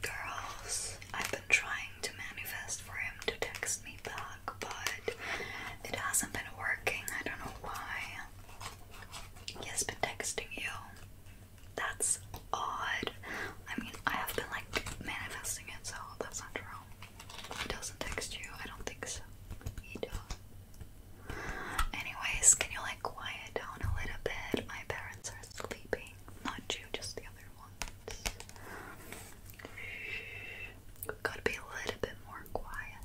Girls, I've been trying to manifest for him to text me back, but it hasn't been working. I don't know why. He has been texting you. That's odd. I mean, I have been like manifesting it, so that's not true. He doesn't text you. I don't think so. He does. Anyways, can you like quiet down a little bit? My parents are sleeping. Not you, just the other ones. got to be a little bit more quiet.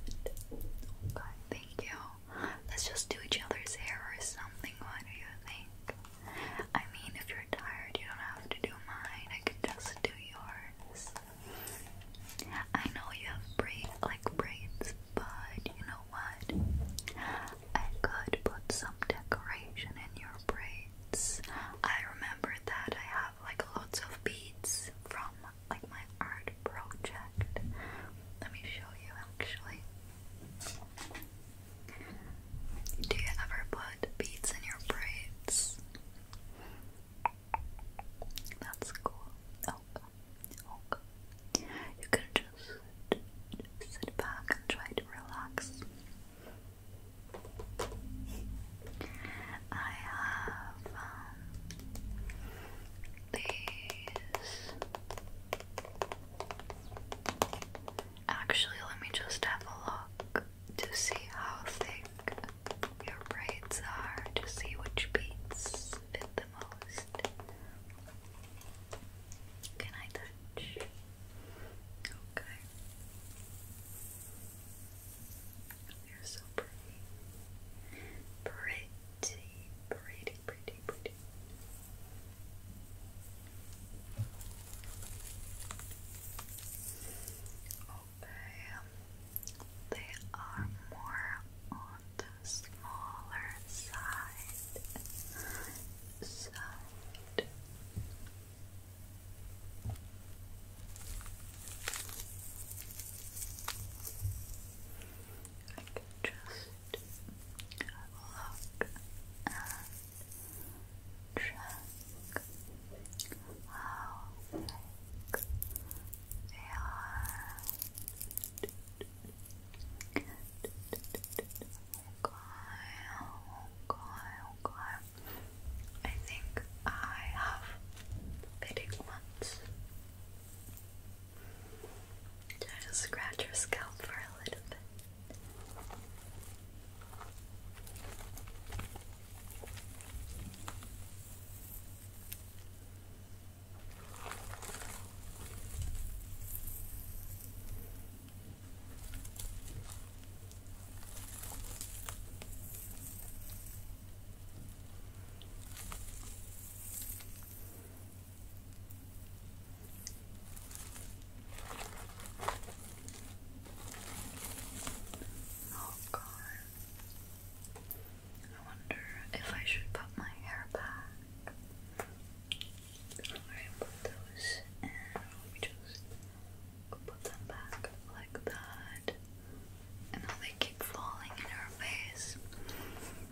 Okay, thank you. Let's just do each other's hair or something. What do you think? I mean, if you're tired, you don't have to do mine. I could just do yours. I know you have braids, like braids, but you know what? I could put some decoration in your braids. I remember that I have like lots of beads from like my art project. Let me show you actually. Do you ever put beads in your braids? That's cool. Oh, oh, you can just sit back and try to relax. I have um, these. Actually, let me just have a look to see how thick your braids are, to see which beads fit the most. Can I touch? Okay. You're so pretty. Pretty, pretty, pretty, pretty. Okay. Um, they are more on the smaller side side. I can and check how thick they are. Okay, okay, okay. I think I have fitting just scratch your scalp for a little bit? Oh god. I wonder if I should put my hair back. Alright, put those and let just put them back like that. And now they keep falling in her face.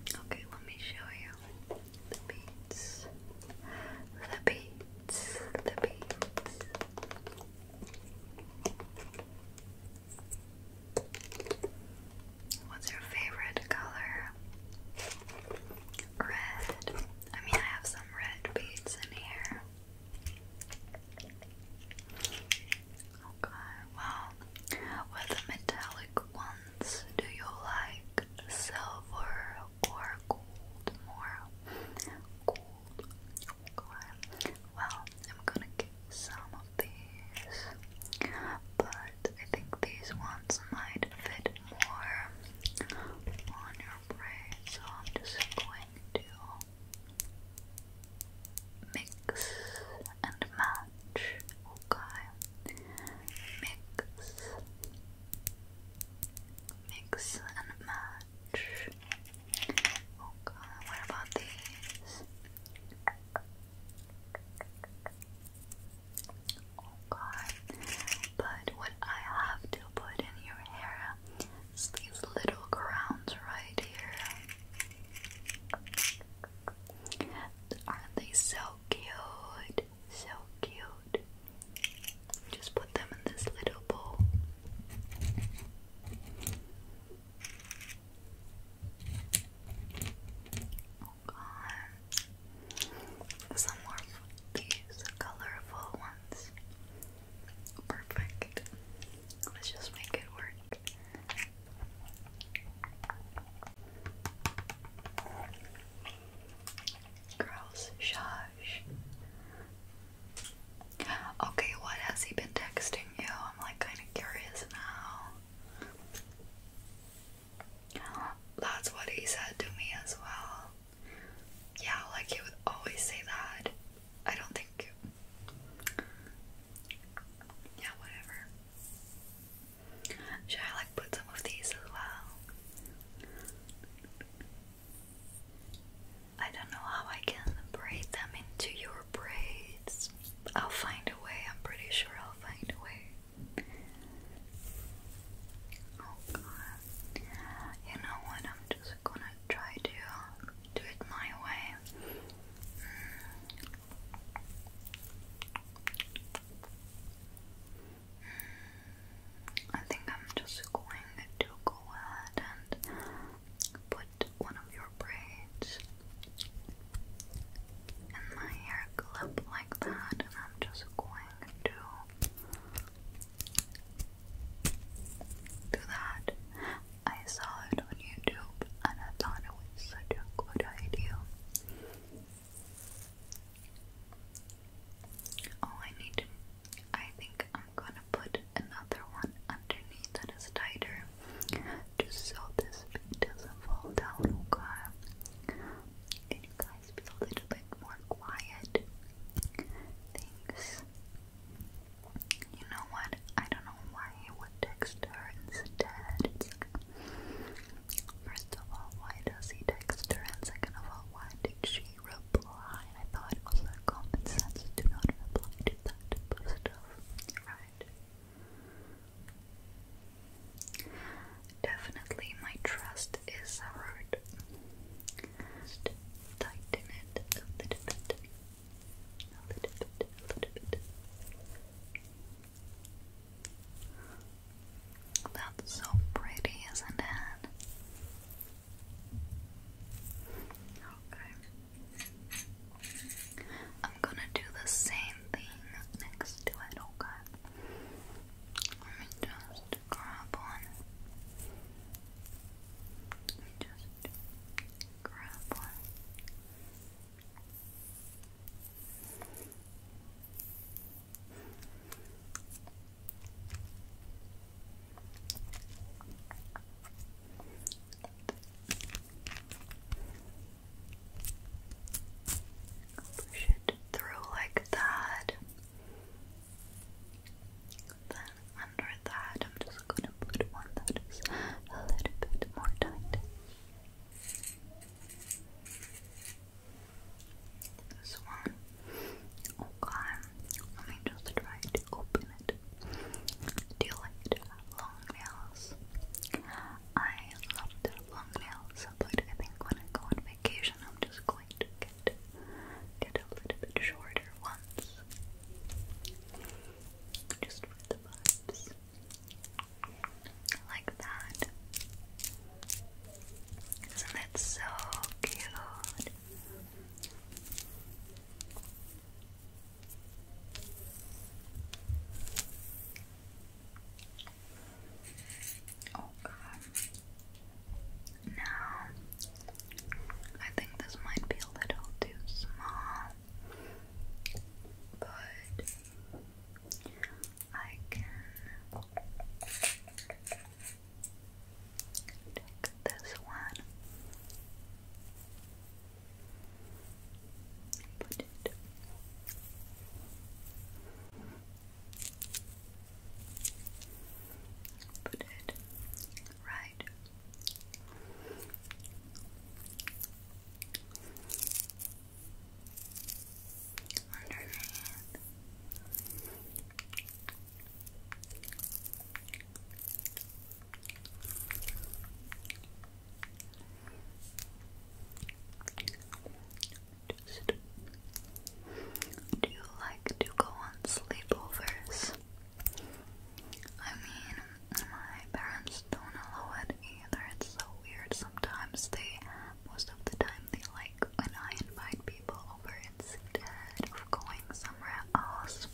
Okay, let me show you the beads. The beads. The beads. What's your favorite color? Red. I mean, I have some red beads in here. Okay, well, with the metallic ones, do you like silver or gold more? Gold. Well, I'm gonna get some of these, but I think these ones might fit bit on your brain, so I'm just going to mix and match, okay? Mix, mix and match. Okay, what about these? Oh god. But what I have to put in your hair is these little crowns right here. Aren't they so cute? So cute. Just put them in this little bowl. Oh god some more of these colorful ones. Perfect. Let's just make it work. Girls, shush. Okay, what has he been texting you? I'm like kind of curious now. That's what he said to me as well. Yeah, like he would always say that. I don't think. Yeah, whatever. Should I like put some of these as well? I don't know how I can braid them into your braids. I'll find a way, I'm pretty sure I'll find a way. Oh god. You know what? I'm just gonna try to do it my way. I think I'm just going to go ahead and put one of your braids in my hair clip like that, and I'm just going to do that. I saw it on YouTube and I thought it was such a good idea. Oh, I need I think I'm gonna put another one underneath that is tighter just so this thing doesn't fall down, okay? And you guys guys with a little bit more quiet things. You know what? I don't know why I would text her instead. first of all, why does he text her? And second of all, why did she reply? I thought it was like common sense to not reply to that type of stuff, right? Definitely my trust is hurt. tighten it That's so pretty, isn't it? Okay. I'm gonna do the same thing next to it, okay? Let me just to grab on. Just grab on. Push it through like that. Then under that, I'm just gonna put one that is a little bit more tight. This one. Okay, let me just try to open it. Do you like long nails? I love long nails, but I think when I go on vacation, I'm just going to get, get a little bit shorter ones. Just for the vibes. Like that. Isn't that so cute? Oh god. Now, I think this might be a little too small, but I can take this one, Put it right. Underneath. Two do you like to go on sleepovers? I mean, my parents don't allow it either. It's so weird. Sometimes they, most of the time, they like when I invite people over instead of going somewhere else.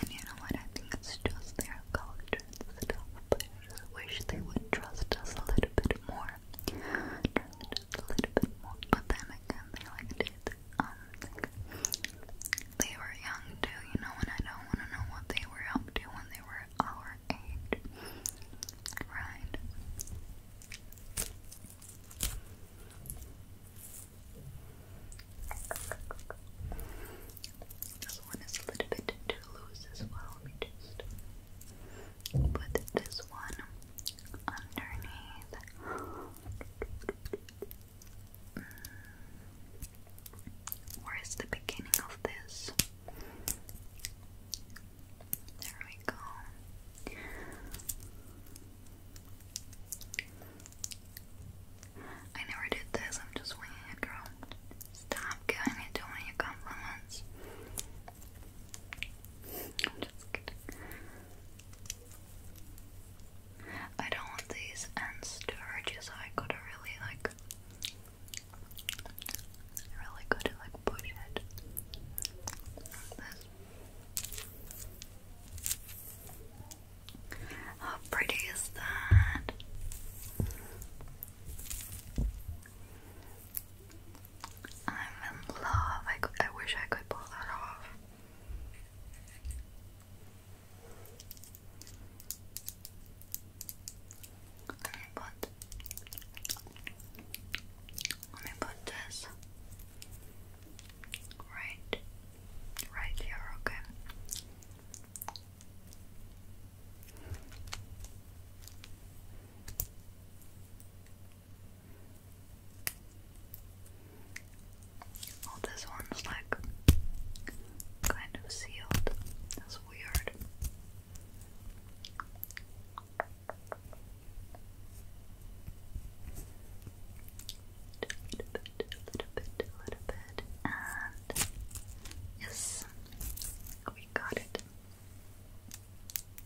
And you know what? I think it's just their culture and stuff. But I just wish they would trust us a little bit more. Trust a little bit more. But then again, they like um, kid. they were young too, you know, and I don't want to know what they were up to when they were our age. Right. This one is a little bit too loose as well. Let me just put this one underneath. Where is the beginning of this? There we go. I never did this, I'm just winging it, girl. Stop giving me too many compliments. I don't want these and sturges. I gotta really like, really gotta like push it How pretty is that? I'm in love. I, I wish I could pull that off. Let me put let me put this right right here, okay. Well, this one's like kind of sealed. That's weird. Little bit, little bit, little bit, and yes, we got it.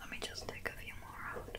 Let me just take a few more out.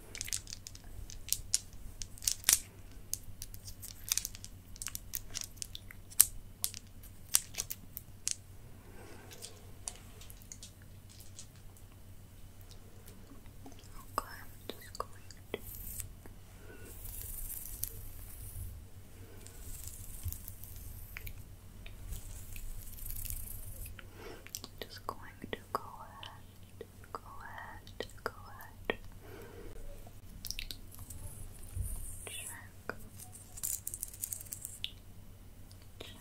Okay, I'm just going to just going to go ahead ahead, go ahead, go ahead. Check. Check. Check. Check.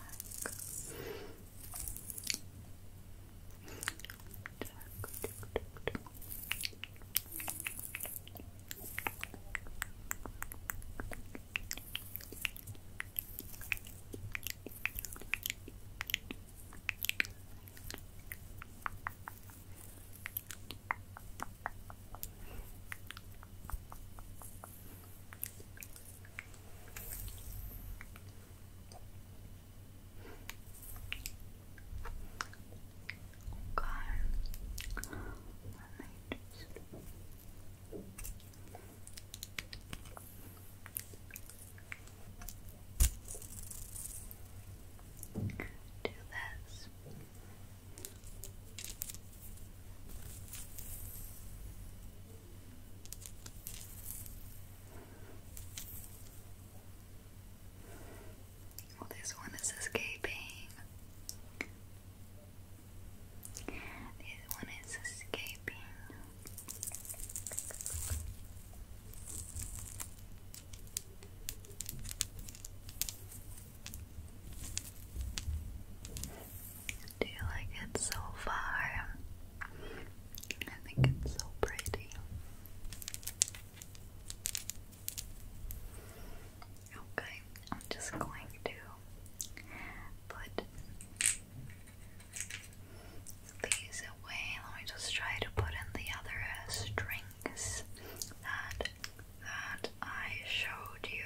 Okay. Let me do this. Well, this one is escaping. This one is escaping. Do you like it so far? I think it's so pretty. Okay, I'm just going to put these away. Let me just try to put in the other uh, strings that that I showed you.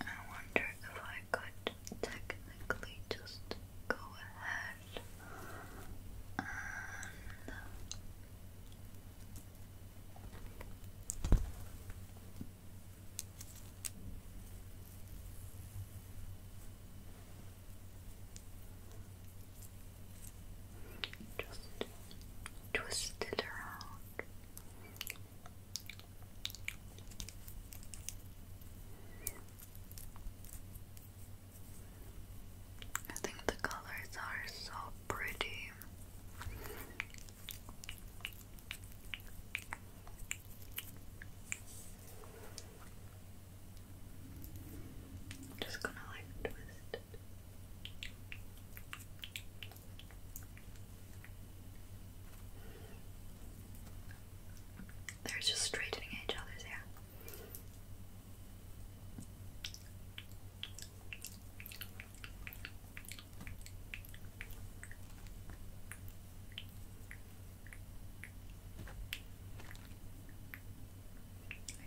I wonder if I could technically just go ahead and just twist it around I think the colors are so pretty. just gonna like twist they're just straightening each other's hair.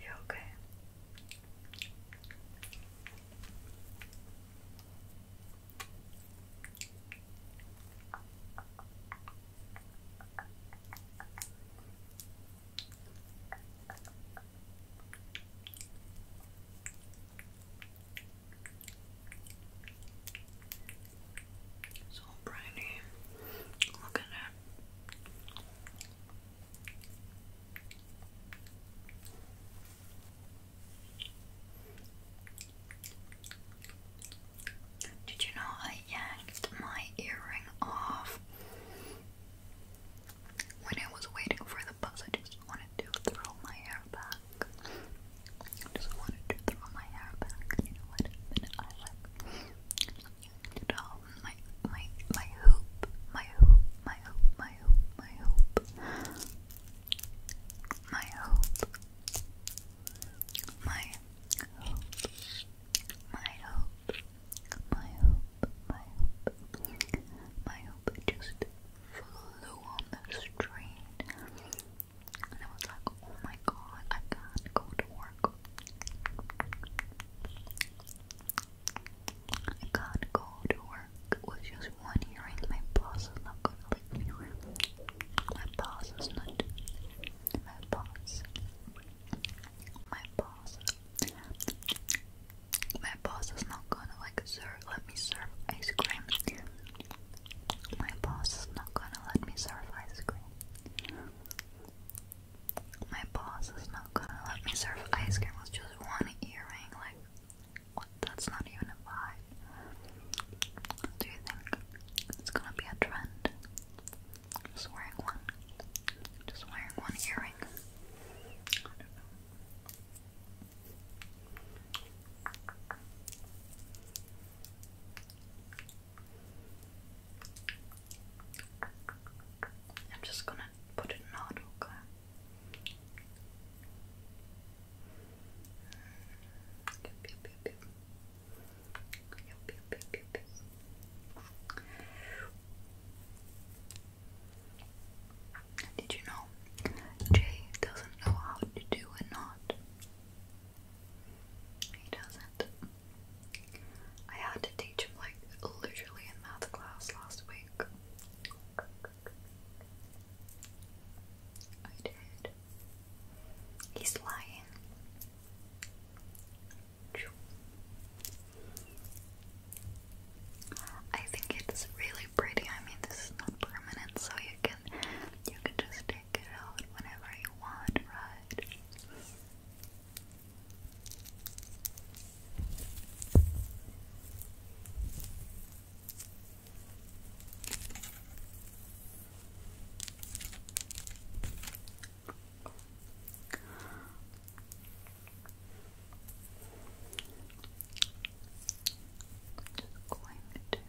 you okay? So briny. Look at that. Did you know I yanked my earring off when I was waiting for the bus? I just wanted to throw my hair back. I just wanted to throw my hair back. You know what? Um, my my my hoop, my hoop, my hoop, my hoop, my hoop, my hoop, my hope, my hope, my hope, my hope, my hope just flew on the street. And I was like, oh my god, I can't go to work. I can't go to work with just one earring. My boss is not gonna my boss is not. My boss. My boss. My boss is not gonna Let me serve ice cream. My boss is not gonna let me serve ice cream. My boss is not gonna let me serve ice cream with just one earring. Like that's not even a vibe. Do you think it's gonna be a trend? Just wearing one. Just wearing one earring. I am just gonna put it in auto, okay? Did you know Jay doesn't know how to do a knot? He doesn't. I had to teach him like literally in math class last week. I did. He's lying. I think it's really pretty. I mean, this is not permanent, so you can you can just take it out whenever you want, right? just going to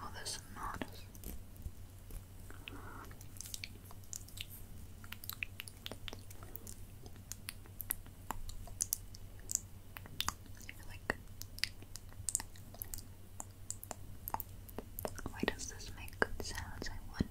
oh this is you why does this make good sounds? I wonder.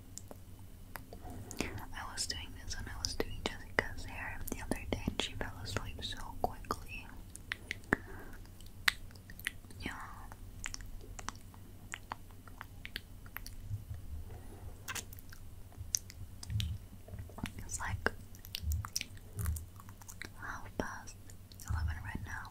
I was doing this when I was doing Jessica's hair the other day and she fell asleep so quickly. Yeah. It's like half past 11 right now.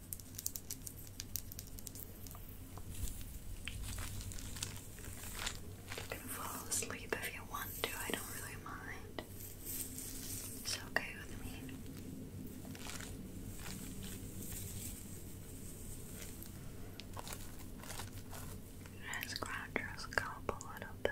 You can fall asleep if you want to, I don't really mind. It's okay with me. Just ground your scalp a little bit.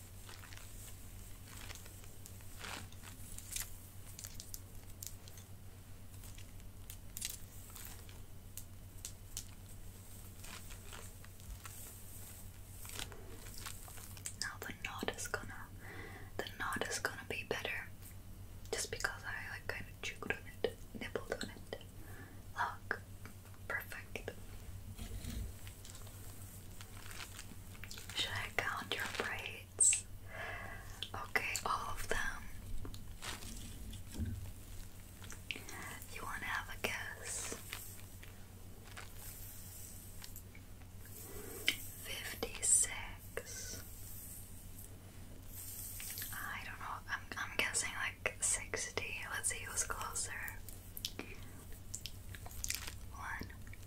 Now the knot is gonna the knot is gonna be better just because I like kind of chewed on it, nibbled on it. Look, perfect. Should I count your braids? Okay, all of them. You want to have a guess? Fifty six. I don't know. I'm I'm guessing like sixty. Let's see who's closer. One,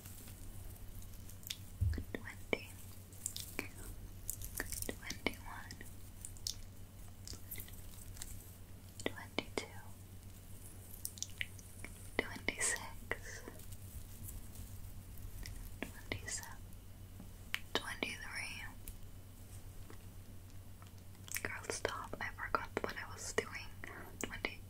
twenty, twenty one, twenty two, twenty six, twenty seven, twenty three. Girl, stop. I forgot what I was doing. 22,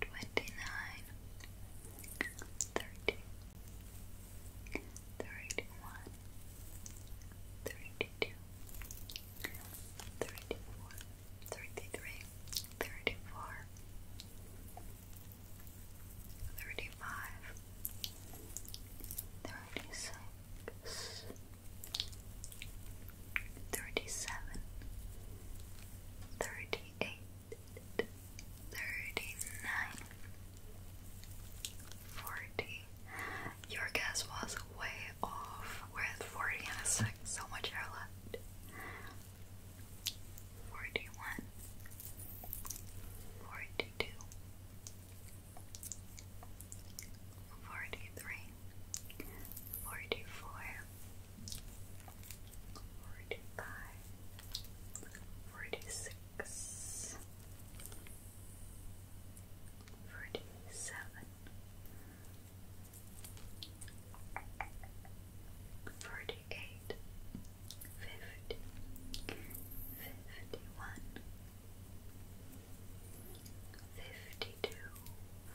twenty-nine, thirty, thirty-one, thirty-two, thirty-four, thirty-three, thirty-four, thirty-five, thirty-six. 36 thirty-seven, thirty-eight, thirty-nine, forty. Your guess was way off. We're at forty and a like so much air left. Forty-one, forty-two, forty-three, forty-four. 45, 46, 47, 48, 50, 51, 52, 53,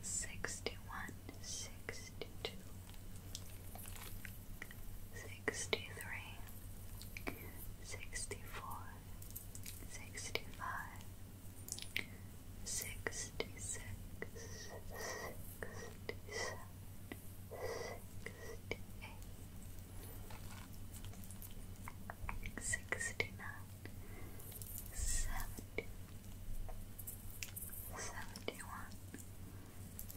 sixty one, sixty two, sixty three, sixty four, sixty five, sixty six, sixty seven sixty-nine, seventy, seventy-one,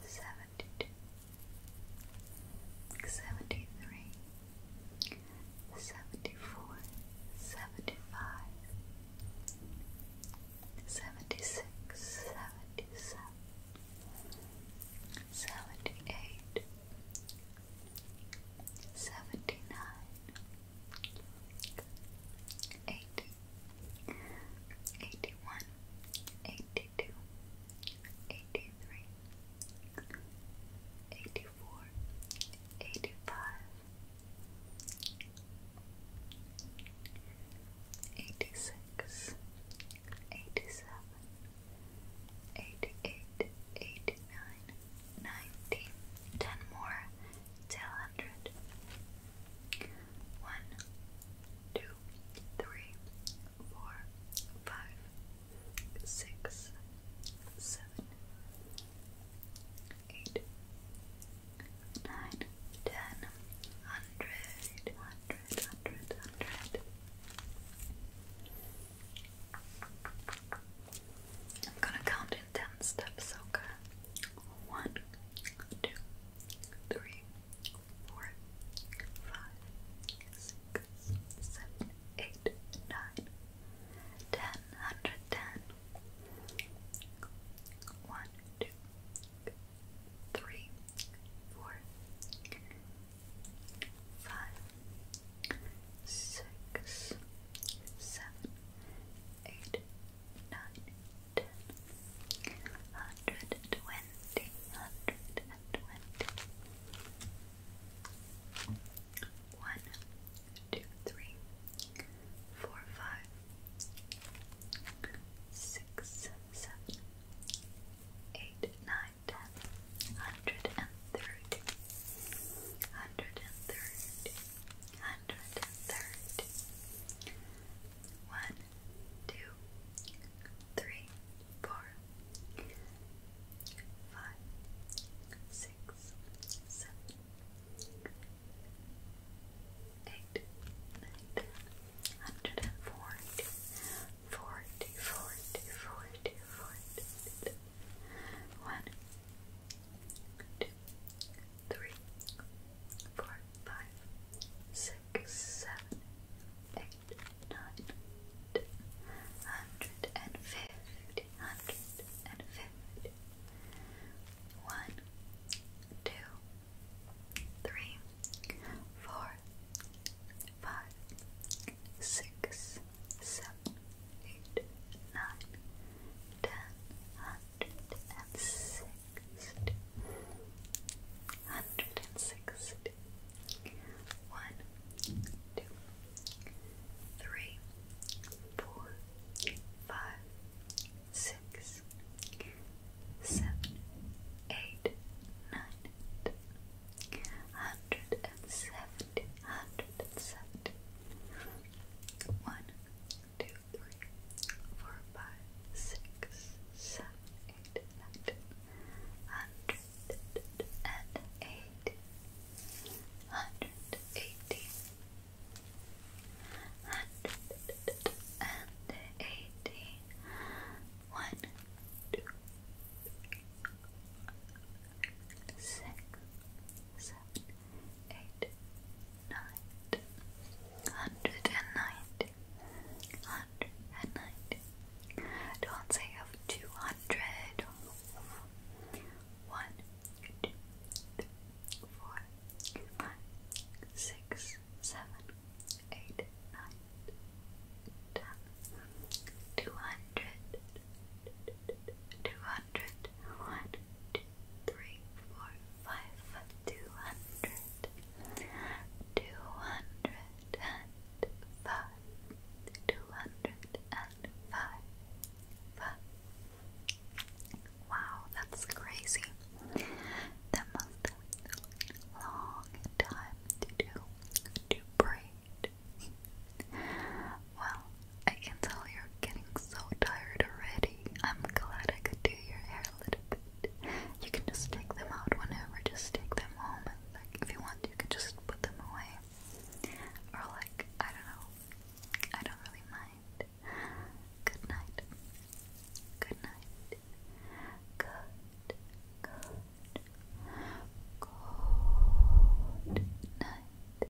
seventy-two, seventy-three, seventy-four, seventy-five, seventy-six, seventy-seven, seventy-eight. 78, 79, 80, 81, 82, 83, 84, 85, 86, seventy nine, eighty, eighty one, eighty two, eighty three, eighty four, eighty five, eighty six, eighty seven, eighty eight, eighty nine, ninety, ten more till hundred. One, two, three, four, five, six, seven, eight, nine, ten, hundred, hundred, hundred, hundred. I'm gonna count in ten steps, okay? One, two, three, four, five, six, seven, eight, nine, ten, hundred ten. One, two, three, four, five, six, seven, eight, nine, ten, hundred and twenty, hundred and twenty. One, two, three, four, five, six, seven, eight, nine, ten, hundred and thirty, hundred and thirty, hundred and thirty, one, two, three, four, five, six, seven, eight, nine, hundred and forty, forty, forty, forty, forty, one. 2, 3, 4, 1 two, three, four, five, six, seven, eight, nine, ten, hundred and fifty, hundred and fifty. One, two, three, four, five, six, seven, eight, nine, ten, hundred and sixty, hundred and sixty, one, two, three, four, five, six, seven, one, two, three, four, five, six, seven, eight, nine, ten, hundred and eight, hundred eighty, hundred and eighty, one, two, three, six, seven eight, nine, hundred and ninety, hundred and ninety. Don't say of two hundred. One, two, three, four, five, six, seven, eight, nine, ten, two hundred. 200 hundred, one, two, three, four, five, two hundred, two hundred and five, two hundred and five, five. Wow, that's crazy. That must have been a long time to do to braid. Well, I can tell you're getting so tired already. I'm glad I could do your hair a little bit. You can just take them out whenever, just take them home like if you want you can just put them away. Or like, I don't know. I don't really mind. Good night. Good night. Good. Good. Good night.